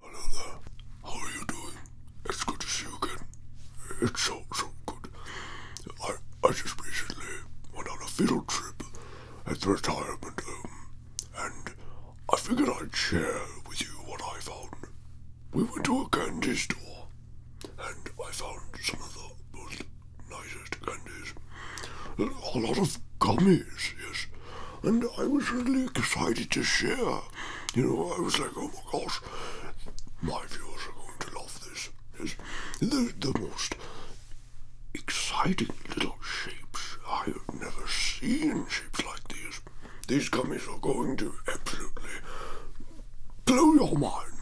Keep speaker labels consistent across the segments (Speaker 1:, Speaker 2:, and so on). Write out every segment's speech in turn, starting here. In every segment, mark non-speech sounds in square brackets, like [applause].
Speaker 1: Hello there. How are you doing? It's good to see you again. It's so so good. I I just recently went on a field trip at the retirement home, and I figured I'd share with you what I found. We went to a candy store, and I found some of the most nicest candies. A lot of gummies, yes, and I was really excited to share you know, I was like, oh my gosh, my viewers are going to love this. Yes. The, the most exciting little shapes I have never seen, shapes like these. These gummies are going to absolutely blow your mind.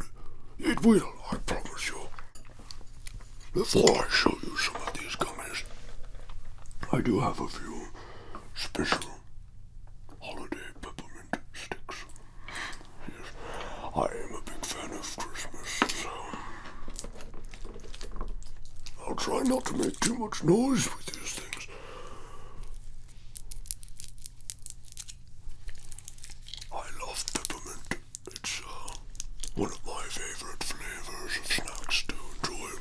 Speaker 1: It will, I promise you. Before I show you some of these gummies, I do have a few special holiday peppermint sticks. Yes, I am a big fan of Christmas, I'll try not to make too much noise with these things. I love peppermint. It's uh, one of my favorite flavors of snacks to enjoy.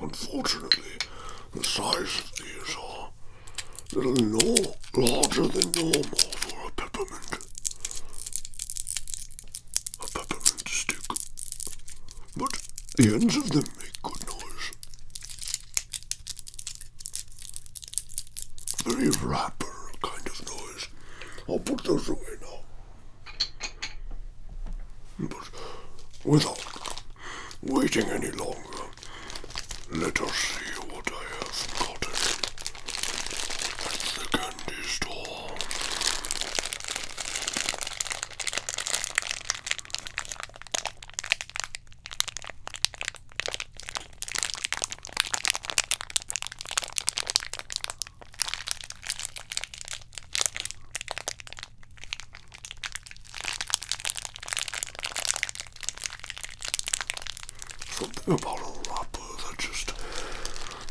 Speaker 1: Unfortunately, the size of these are little no larger than normal for a peppermint. A peppermint stick. But the ends of them make good noise. Very rapper kind of noise. I'll put those away now. But without waiting any longer. Let us see what I have gotten at the candy store. Something about a wrapper that just,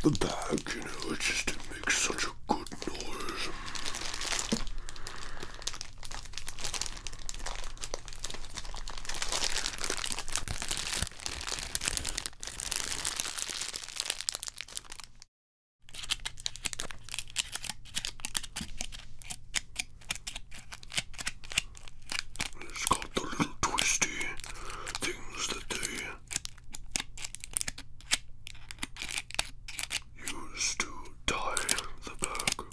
Speaker 1: the bag, you know, it just makes such a good noise. It's got the little twisty things that they use to tie the bag.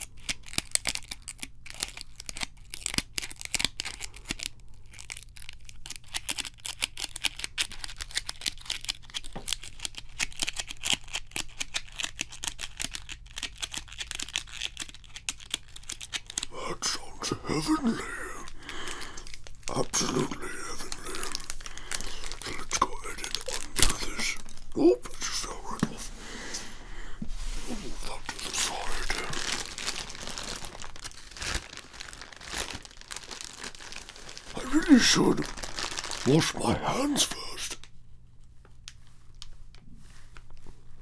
Speaker 1: That sounds heavenly. Absolutely heavenly. let's go ahead and undo this. Oh, it fell right off. we that to the side. I really should wash my hands first.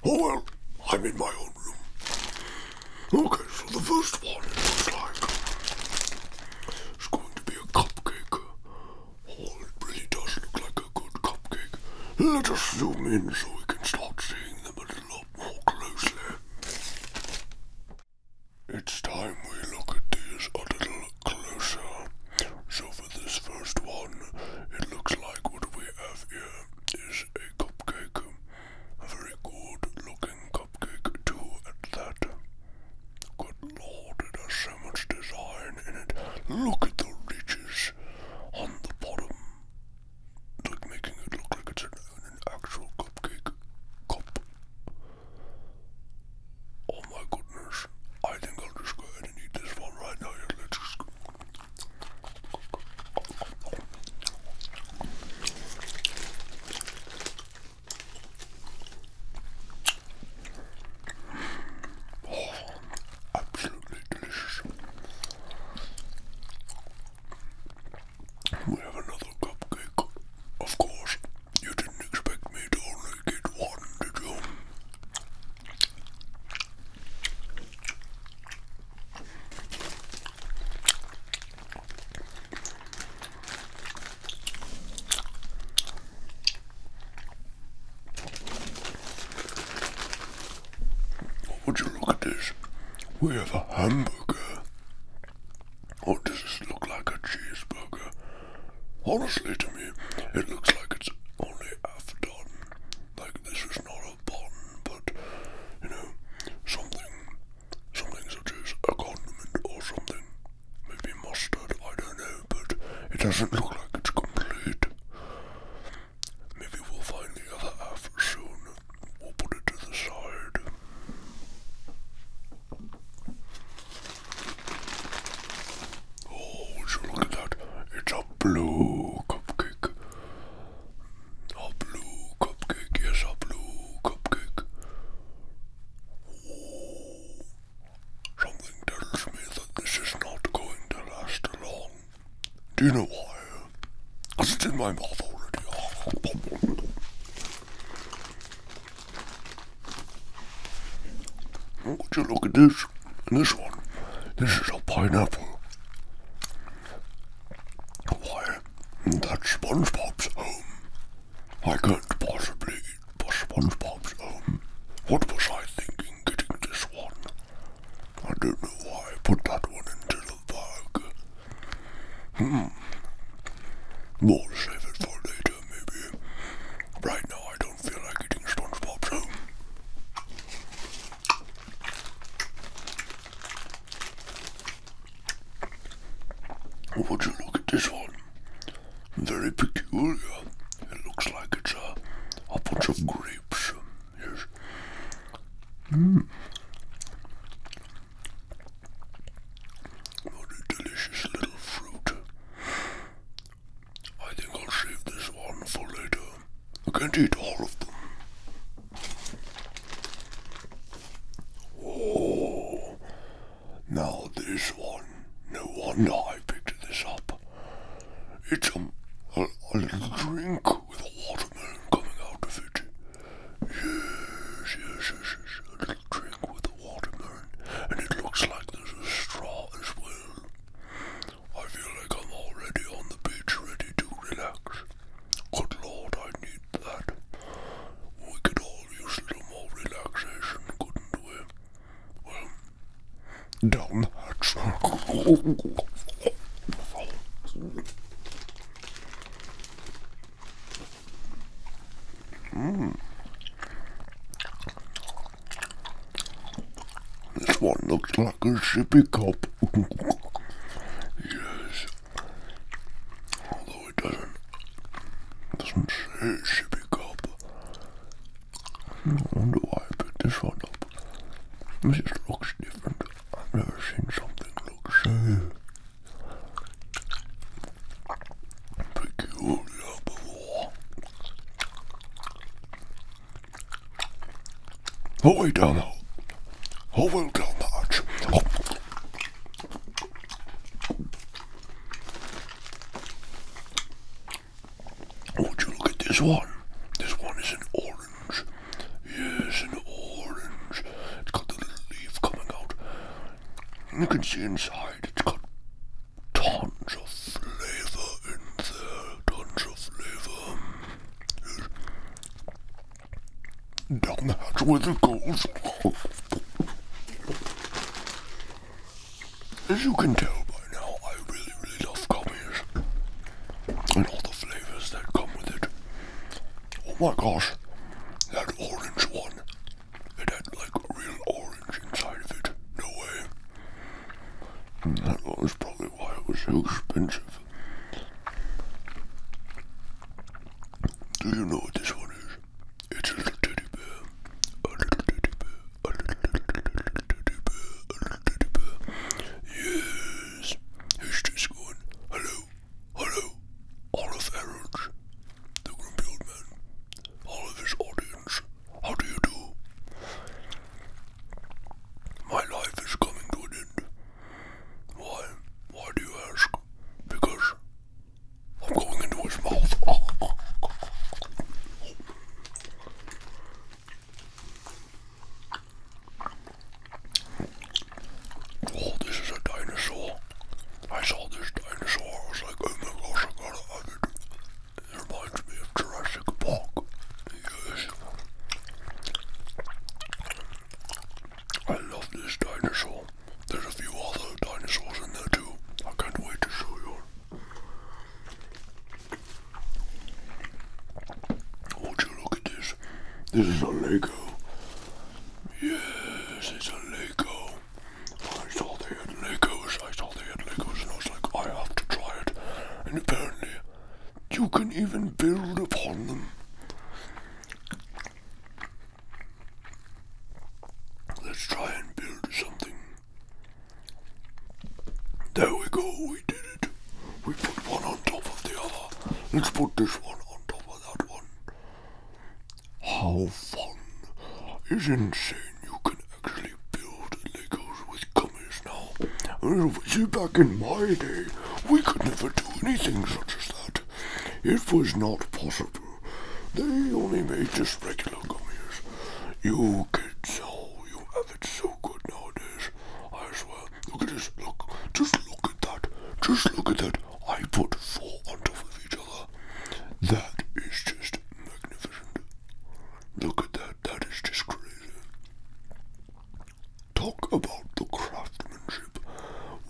Speaker 1: Oh well, I'm in my own room. Okay, so the first one looks like it's going to be a cupcake. Oh, it really does look like a good cupcake. Let us zoom in so we can start seeing them a little lot more closely. It's time we look at these a little closer. So for this first one, it looks like what we have here is a cupcake. A very good looking cupcake too at that. Good lord, it has so much design in it. Look at the ridges on the bottom. Like making it look like it's an actual cupcake cup. Oh my goodness. I think I'll just go ahead and eat this one right now. Yeah, let's oh, absolutely delicious. We have another cupcake, of course. You didn't expect me to only get one, did you? Would you look at this? We have a hamburger. What does this look like a cheeseburger? Honestly, to me, it looks like it's only half done. Like this is not a bun, but you know, something, something such as a condiment or something. Maybe mustard, I don't know, but it doesn't look like it's complete. Maybe we'll find the other half soon. We'll put it to the side. Oh, look at that? It's a blue cupcake. A blue cupcake, yes, a blue cupcake. Oh, something tells me that this is not going to last long. Do you know why? it's in my mouth already. Ah, ah, ah, would you look at this? And this one. This is a pineapple. Why, that's SpongeBob's home. I can't possibly eat SpongeBob's home. What was I thinking getting this one? I don't know why I put that one into the bag. Hmm. We'll save it for later, maybe. Right now, I don't do Would you look at this one? Very peculiar. It looks like it's a, a bunch of grapes. Yes. Mmm. What a delicious little fruit. I think I'll save this one for later. I can't eat all of them. Oh, now this one. No wonder I picked this up. It's a, little drink with a watermelon coming out of it. Yes, yes, yes, yes. A little drink with watermelon, and it looks like there's a straw as well. I feel like I'm already on the beach, ready to relax. Good lord, I need that. We could all use a little more relaxation, couldn't we? Well, dumb. that [laughs] hmm. This one looks like a sippy cup. yes. Although it doesn't doesn't say sippy cup. I wonder why I picked this one up. This looks different. I've never seen something look so peculiar before. Halfway down the hall. Halfway down the arch. Oh. Would you look at this one? This one is an orange. Yes, an orange. It's got the little leaf coming out. You can see inside. It's got tons of flavor in there, tons of flavor. Down the hatch with it goes. As you can tell by now, I really, really love gummies and all the flavors that come with it. Oh my gosh, that orange one. It had like real orange inside of it. No way. And that was probably why it was so expensive. Do you know what this one is? It's a little teddy bear. A little teddy bear. A little, little, little teddy bear. A little teddy bear. Yes. Who's this going? Hello. Hello. Olive Arrows. The grumpy old man. All of his audience. How do you do? My life is coming to an end. Why? Why do you ask? Because I'm going into his mouth. Oh, this is a dinosaur. I saw this dinosaur. I was like, oh my gosh, I gotta have it. It reminds me of Jurassic Park. Yes. I love this dinosaur. There's a few other dinosaurs in there too. I can't wait to show you. Would you look at this? This is a Lego. Yes, it's a Lego. I saw they Legos healthy at Legos, and I was like, I have to try it. And apparently, you can even build upon them. Let's try and build something. There we go, we did it. We put one on top of the other. Let's put this one on top of that one. How fun is insane you can actually build Legos with gummies now. See, back in my day, we could never do anything such as that. It was not possible. They only made just regular gummies. You kids, oh, you have it so good nowadays. I swear. Look at this. Look. Just look at that. Just look at that. I put four on top of each other. That is just magnificent. Look at that. That is just crazy. Talk about the craftsmanship,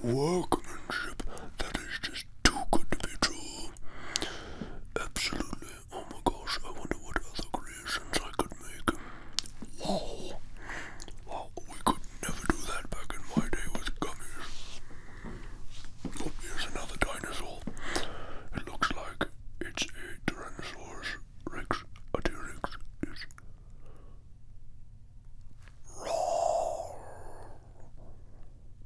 Speaker 1: workmanship. That is just too good to be true. Absolutely. Oh my gosh, I wonder what other creations I could make. Wow. Wow, we could never do that back in my day with gummies. Oh, here's another dinosaur. It looks like it's a Tyrannosaurus Tyrannosaurus rex, a T-Rex is raw,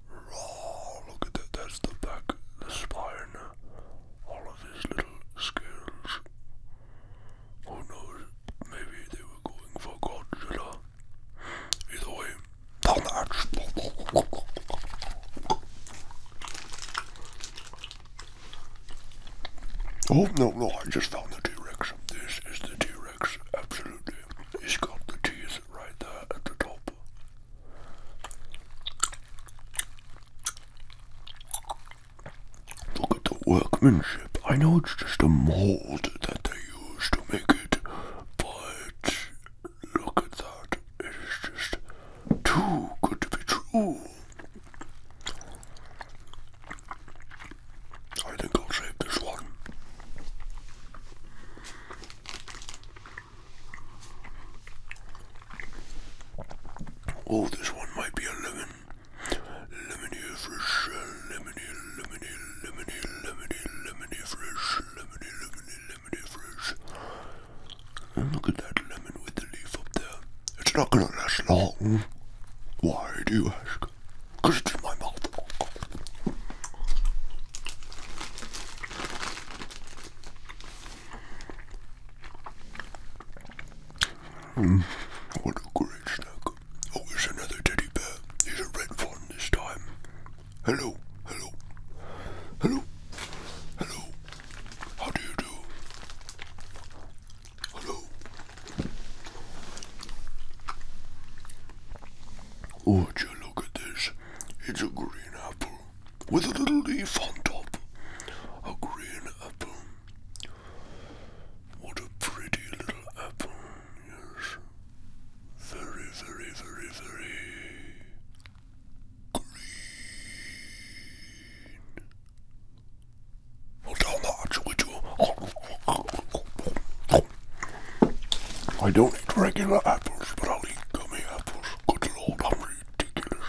Speaker 1: raw, look at that, that's the back, the spine, all of these little scales, who knows, maybe they were going for Godzilla, either way, down the hatch. Oh, no, no, I just found the T-Rex. This is the T-Rex, absolutely. He's got the teeth right there at the top. Look at the workmanship. I know it's just a mold that they use to make it, but look at that. It is just too good to be true. I think I'll save this one. Oh, this one might be a lemon. Lemony fresh, lemony, lemony, lemony, lemony, lemony, lemony fresh, lemony, lemony, look at that lemon with the leaf up there. It's not gonna last long. Why do you ask? Because it's in my mouth. Hmm, what a great snack. Oh, here's another teddy bear. He's a red one this time. Hello, hello, hello, hello, how do you do? Hello. Would oh, you look at this? It's a green apple with a little leaf on top. A green apple. What a pretty little apple, yes. Very, very, very, very green. Well, down that actually too. I don't eat regular apples, but i eat gummy apples. Good lord, I'm ridiculous.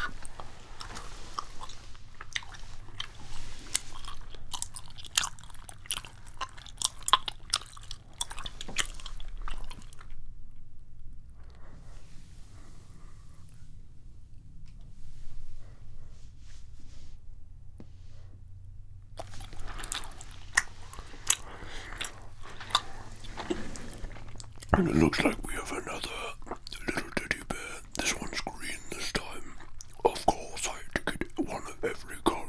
Speaker 1: And it looks like we have another little teddy bear. This one's green this time. Of course, I had to get one of every colour.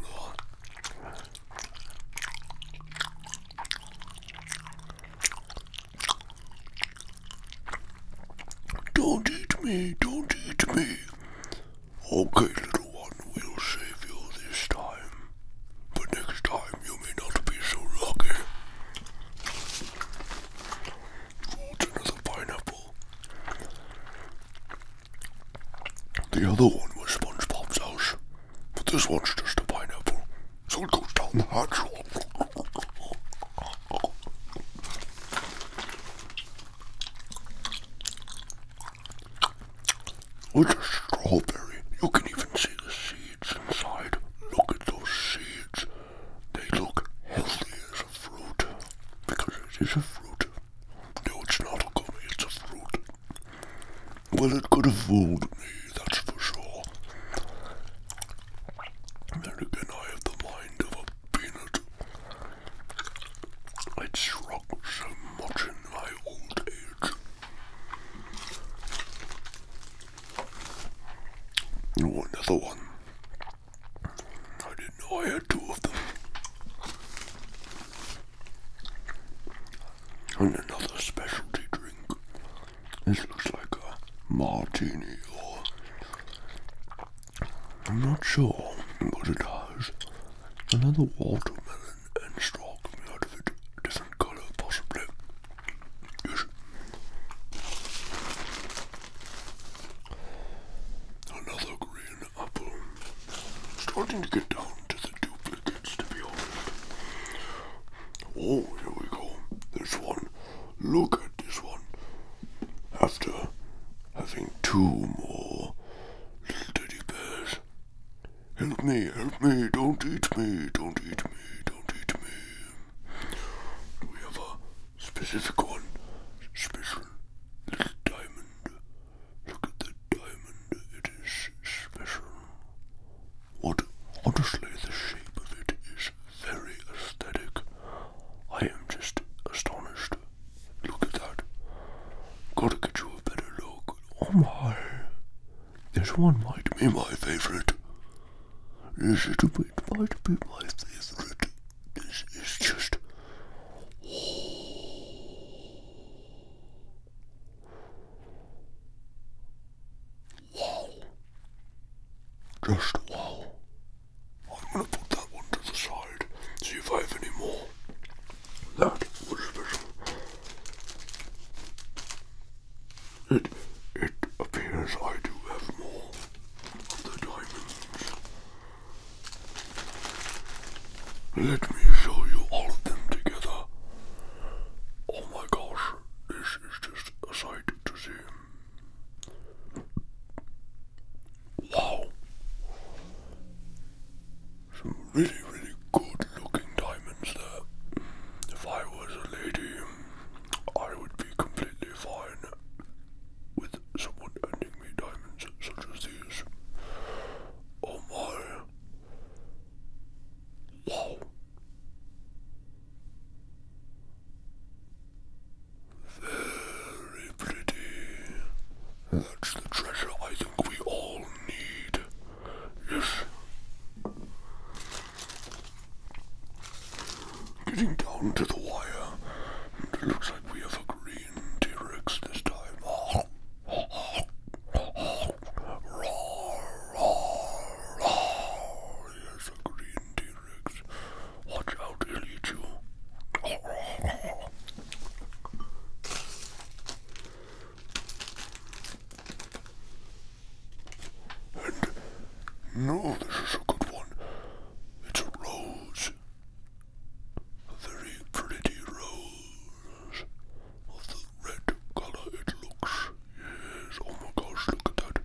Speaker 1: Don't eat me, don't eat me. Okay, little one, we'll save you this time. But next time you may not be so lucky. Ooh, another pineapple. The other one was SpongeBob's house, but this one's just a pineapple. So it goes down the nostril. It's a strawberry. You can even see the seeds inside. Look at those seeds. They look healthy as a fruit. Because it is a fruit. No, it's not a gummy, it's a fruit. Well, it could have fooled me, that's for sure. Then again, I have the mind of a peanut. I shrunk so much in my old age. Oh, another one. I didn't know I had two of them. And another specialty drink. This looks like a martini or I'm not sure what it has. Another watermelon and straw coming out of it. Different colour possibly. Yes. Another green apple. Starting to get down to the duplicates to be honest. Oh, here we go. There's one look at this one. After having two more little teddy bears. Help me, help me, don't eat me, don't eat me, don't eat me. We have a specific one, special little diamond. Look at that diamond, it is special. What, honestly, the shape of it is very aesthetic. I am just astonished. Look at that. Gotta get you a better look. Oh my. This one might be my favorite. This it might be my favorite. This is just. Wow. Just wow. I'm gonna put that one to the side, see if I have any more. That was special. It, it appears I do have more of the diamonds. Let me show you all of them together. Oh my gosh, this is just a sight to see. Wow. Some really, really good looking diamonds there. If I was a lady, I would be completely fine with someone handing me diamonds such as these. Oh my. Wow. Very pretty. That's the treasure I think we all need. Yes. Getting down to the wire. looks like we have a green T-Rex this time. [laughs] Yes, a green T-Rex. Watch out, he'll eat you. And no, this is a good one. It's a rose. A very pretty rose. Of the red color it looks. Yes, oh my gosh, look at that.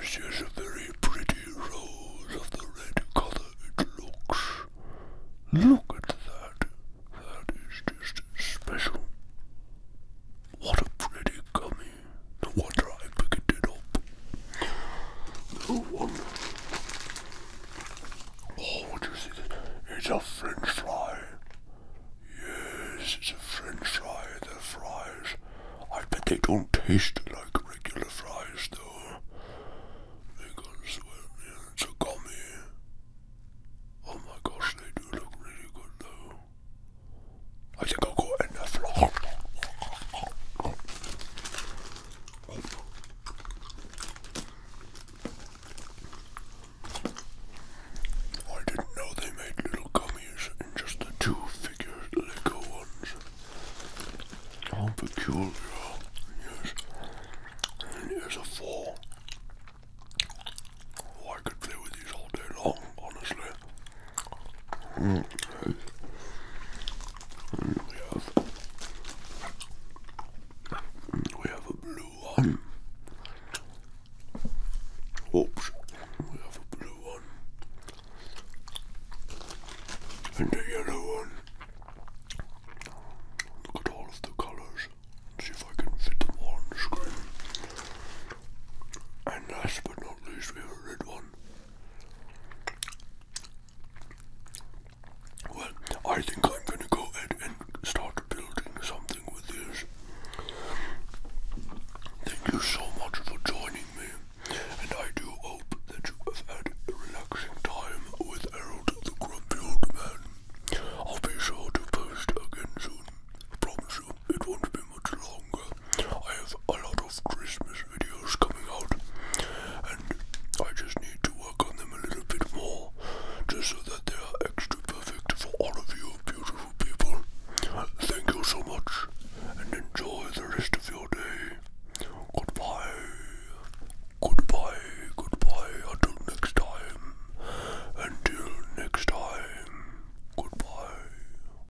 Speaker 1: Yes, yes, a very pretty rose of the red colour it looks. Look at that. That is just special. What a pretty gummy. No wonder I picked it up. No wonder. Oh, what is it? It's a French fry. Yes, it's a French fry. They're fries. I bet they don't taste like regular fries, though. They are sweat. Yeah, it's a gummy. Oh my gosh, they do look really good, though. I think I'll go enough. I didn't know they made little gummies in just the two figure Lego ones. How peculiar. Yes. here's a four. Oh, I could play with these all day long, honestly. Mm. We have we have a blue one. Oops, we have a blue one and a yellow one. Look at all of the colours. See if I can fit them all on the screen. And last but not least, we have a red one. Well, I think I'm going to go ahead and start building something with this. Thank you so much for joining me, and I do hope that you have had a relaxing time with Harold the Grumpy Old Man. I'll be sure to post again soon videos. It won't be much longer. I have a lot of Christmas videos coming out, and I just need to work on them a little bit more, just so that they are extra perfect for all of you beautiful people. Thank you so much, and enjoy the rest of your day. Goodbye. Goodbye, goodbye, until next time. Until next time, goodbye.